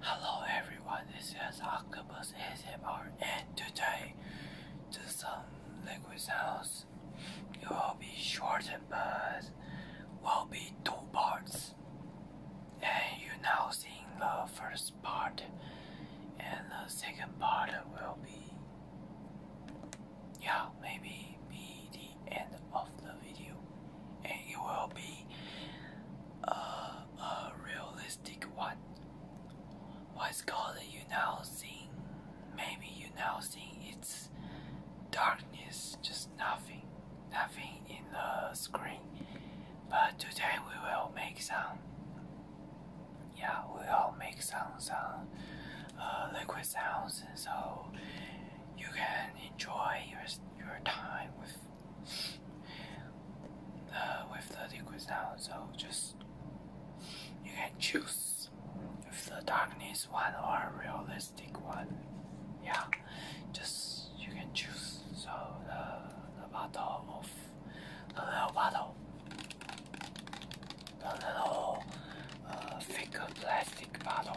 Hello everyone, this is Octopus ASMR and today to some liquid sounds. It will be shortened but will be two parts. And you now seeing the first part and the second part will be yeah maybe be end of the video, and it will be uh, a realistic one. What's called you now seeing? Maybe you now seeing it's darkness, just nothing, nothing in the screen. But today we will make some. Yeah, we will make some some uh, liquid sounds, so you can enjoy your your time with the uh, with the liquid now. So just you can choose if the darkness one or realistic one. Yeah, just you can choose. So the bottle of the little bottle, the little uh, plastic bottle.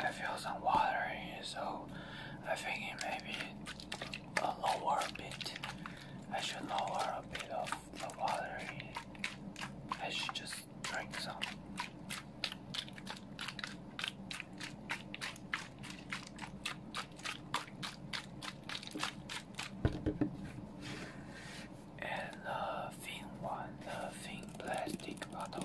I feel some water so I think it may a lower bit. I should lower a bit of the water I should just drink some. And the thin one, the thin plastic bottle.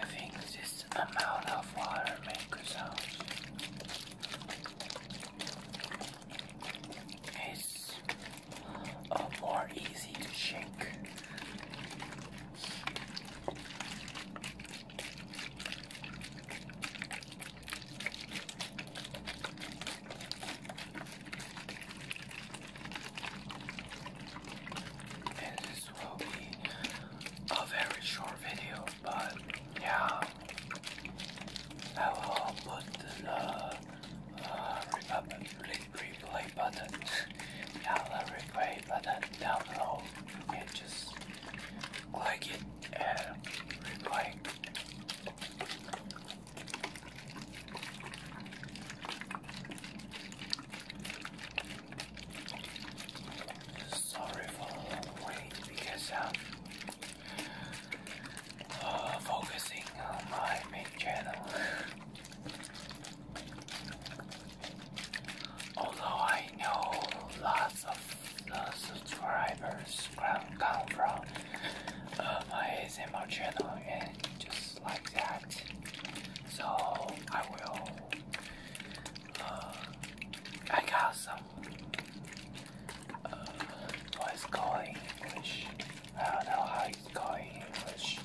I think this amount of water makes sound. It's more easy to shake. And this will be a very short video, but yeah, I will put the uh, uh, replay button, yeah, the replay button down below. And just click it and replay. Sorry for a wait because I'm uh, uh, focusing on my main channel. Although I know lots of the subscribers come from uh, my ASMR channel and just like that. So I will. Uh, I got some. Uh, what's called in English? I don't know how it's called in English.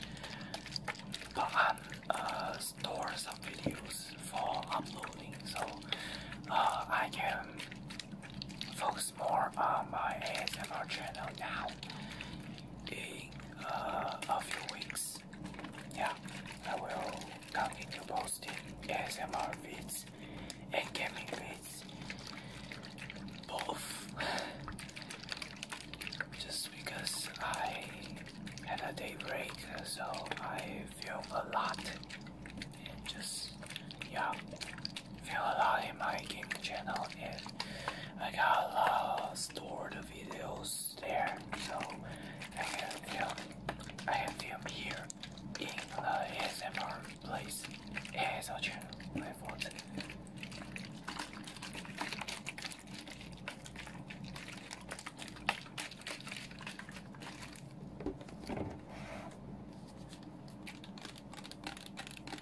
But I'm uh, store some videos for uploading, so uh, I can focus more on my ASMR channel now in uh, a few weeks. Yeah, I will continue posting ASMR vids and gaming vids. Both. Just because I had a day break, so I film a lot. And just, yeah, I a lot in my gaming channel and I got a lot of stored videos there so I can film I can film here in the ASMR place ASL channel my phone.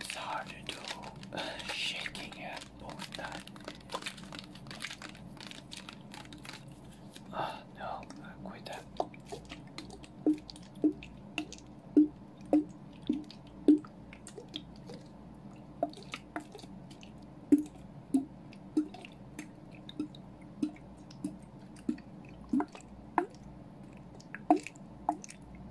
It's hard to do uh, shaking at both times. Oh no, I quit that.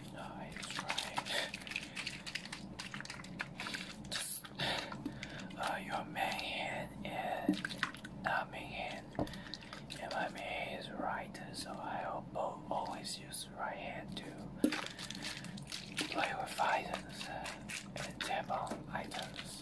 Nice, right. Uh, your main hand and not hand, and my main hand is right, so I always use right hand to play with items uh, and tap items.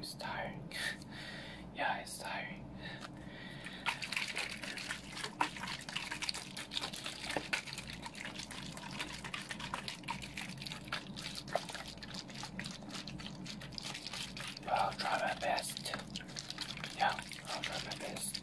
It's tiring. yeah, it's tiring. I'll try my best. Yeah, I'll try my best.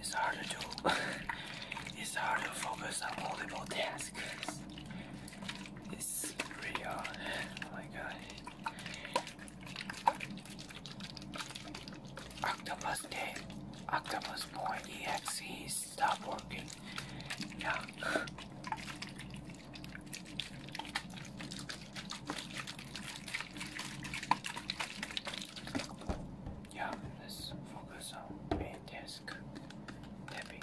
It's hard to do. it's hard to focus on multiple tasks. It's really Oh my god. Octopus Day. Octopus boy. EXEs stop working. Yeah. Yeah, let's focus on main task. Tapping.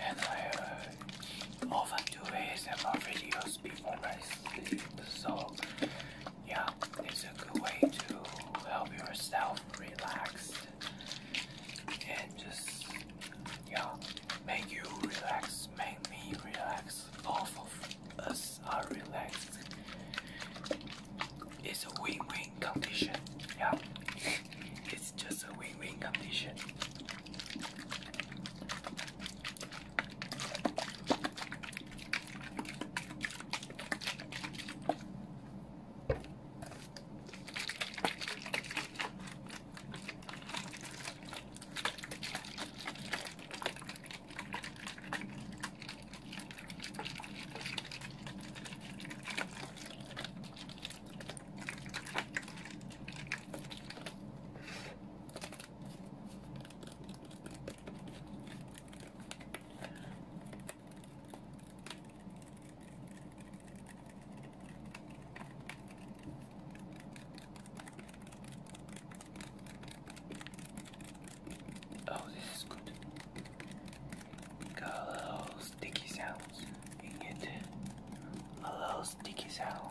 And I uh, often do ASMR videos before I sleep, so yeah, it's a good way to help yourself relax and just yeah, make you relax, make me relax. Both of us are relaxed. It's a win-win condition. Yeah, it's just a win-win condition. Oh, this is good. Got a little sticky sounds. You get a little sticky sounds.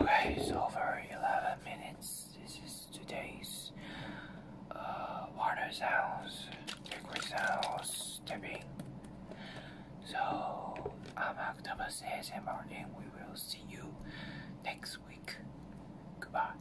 Okay, it's over 11 minutes. This is today's uh, water sounds, liquid tapping. So, I'm Octopus ASMR and we will see you next week. Goodbye.